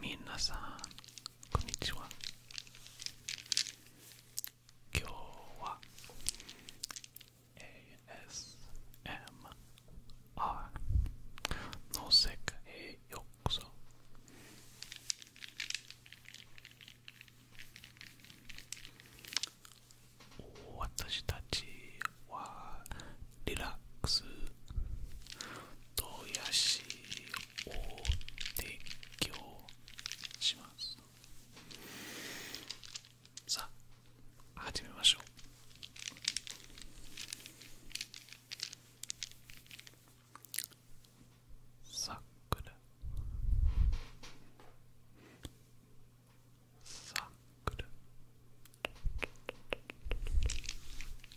みなさんこんにちは今日は ASMR の世界へようこそ私たちはリラックスとやしをょう。しますさあ始めましょうさくらさくる。さくくら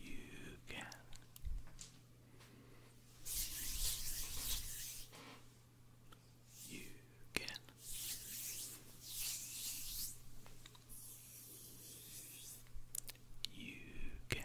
you can. You can. You can. You can.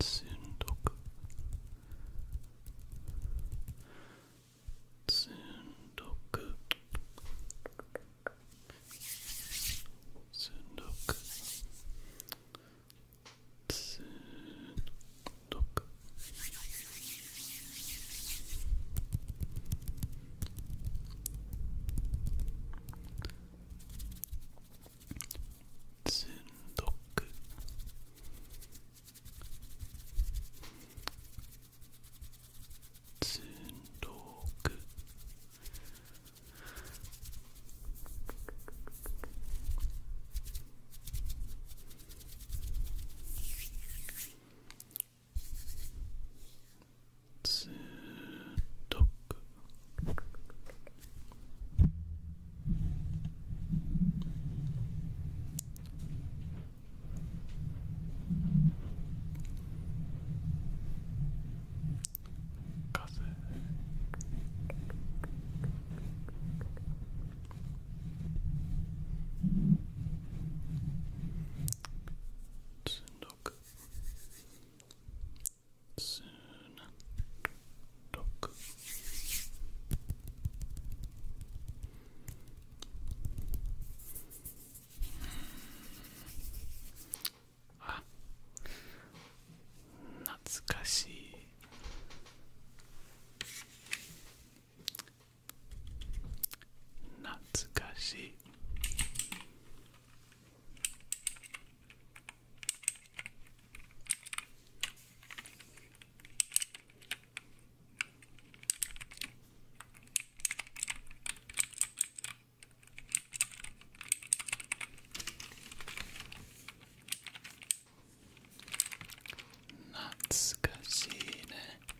つんどくつんどくつんどくつんどくつんどくつんどくストック風つんどくつなろくあ懐かしい懐かしい懐かしいね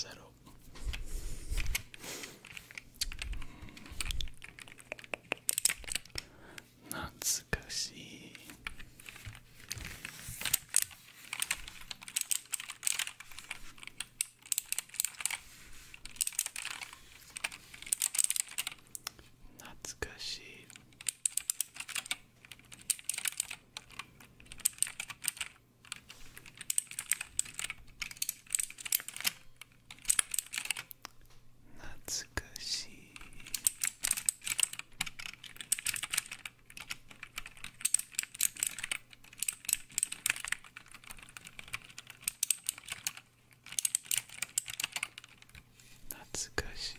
Zero. Natsukashi. Natsukashi. 懐かしい懐かしい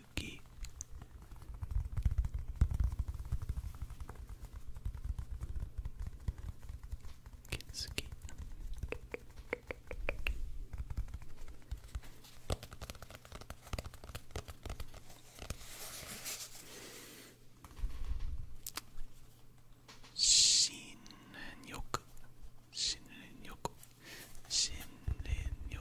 ぎ気づき信念欲信念欲信念欲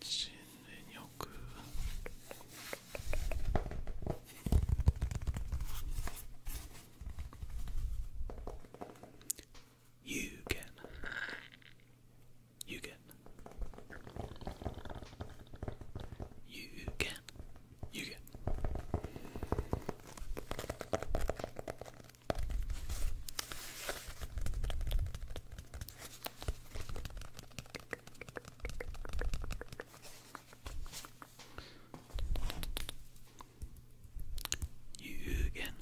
新年よく。You can You can. You can. You can. You can.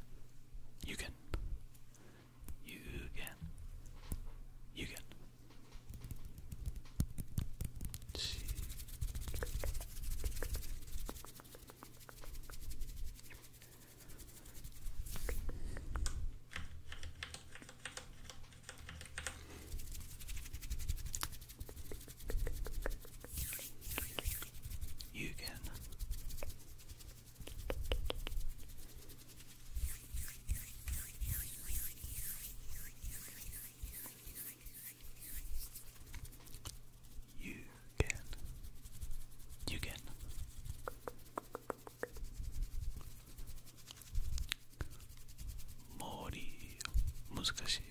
You can. You can. You can. You can. You can. You can. Mori, muskashi.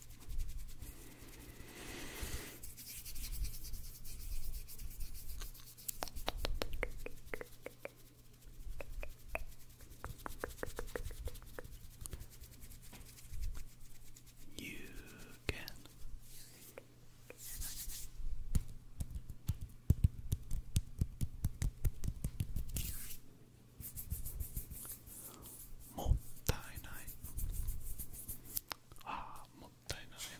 You can. Mottainai. Ah, mottainai.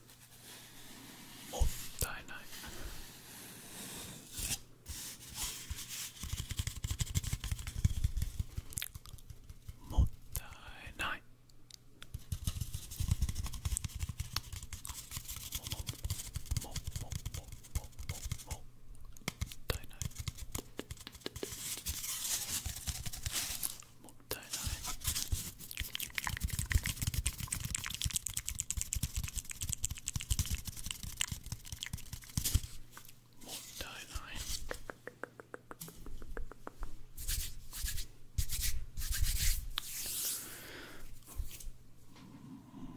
もったいないもったいないももももももももったいないもったいないもったいない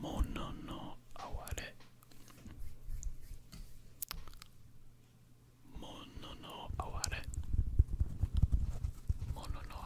もののあわれもののあわれものの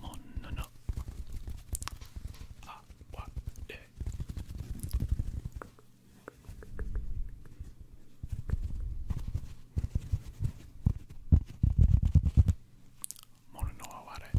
もののあわれもののあわれ「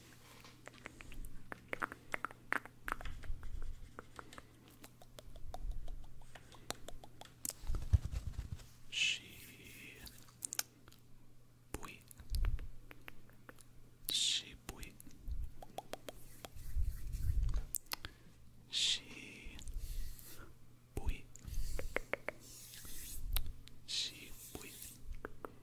She Bui She Bui She Bui She Bui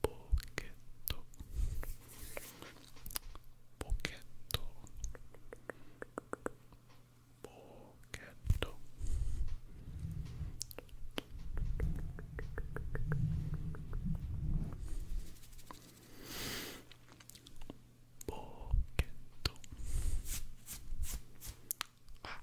pochetto pochetto pochetto pochetto ah.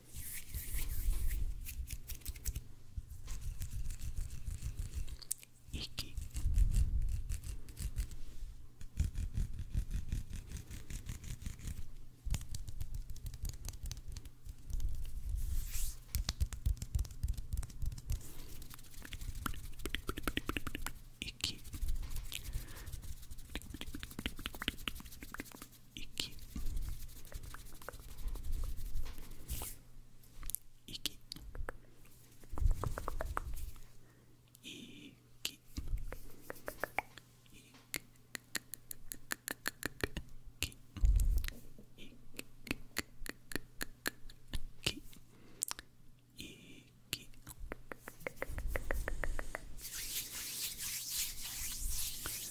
息息息息息息息息みなさんみなさん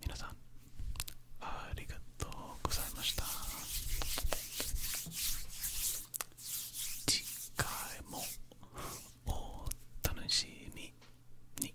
みなさんありがとうございました次回もお楽しみに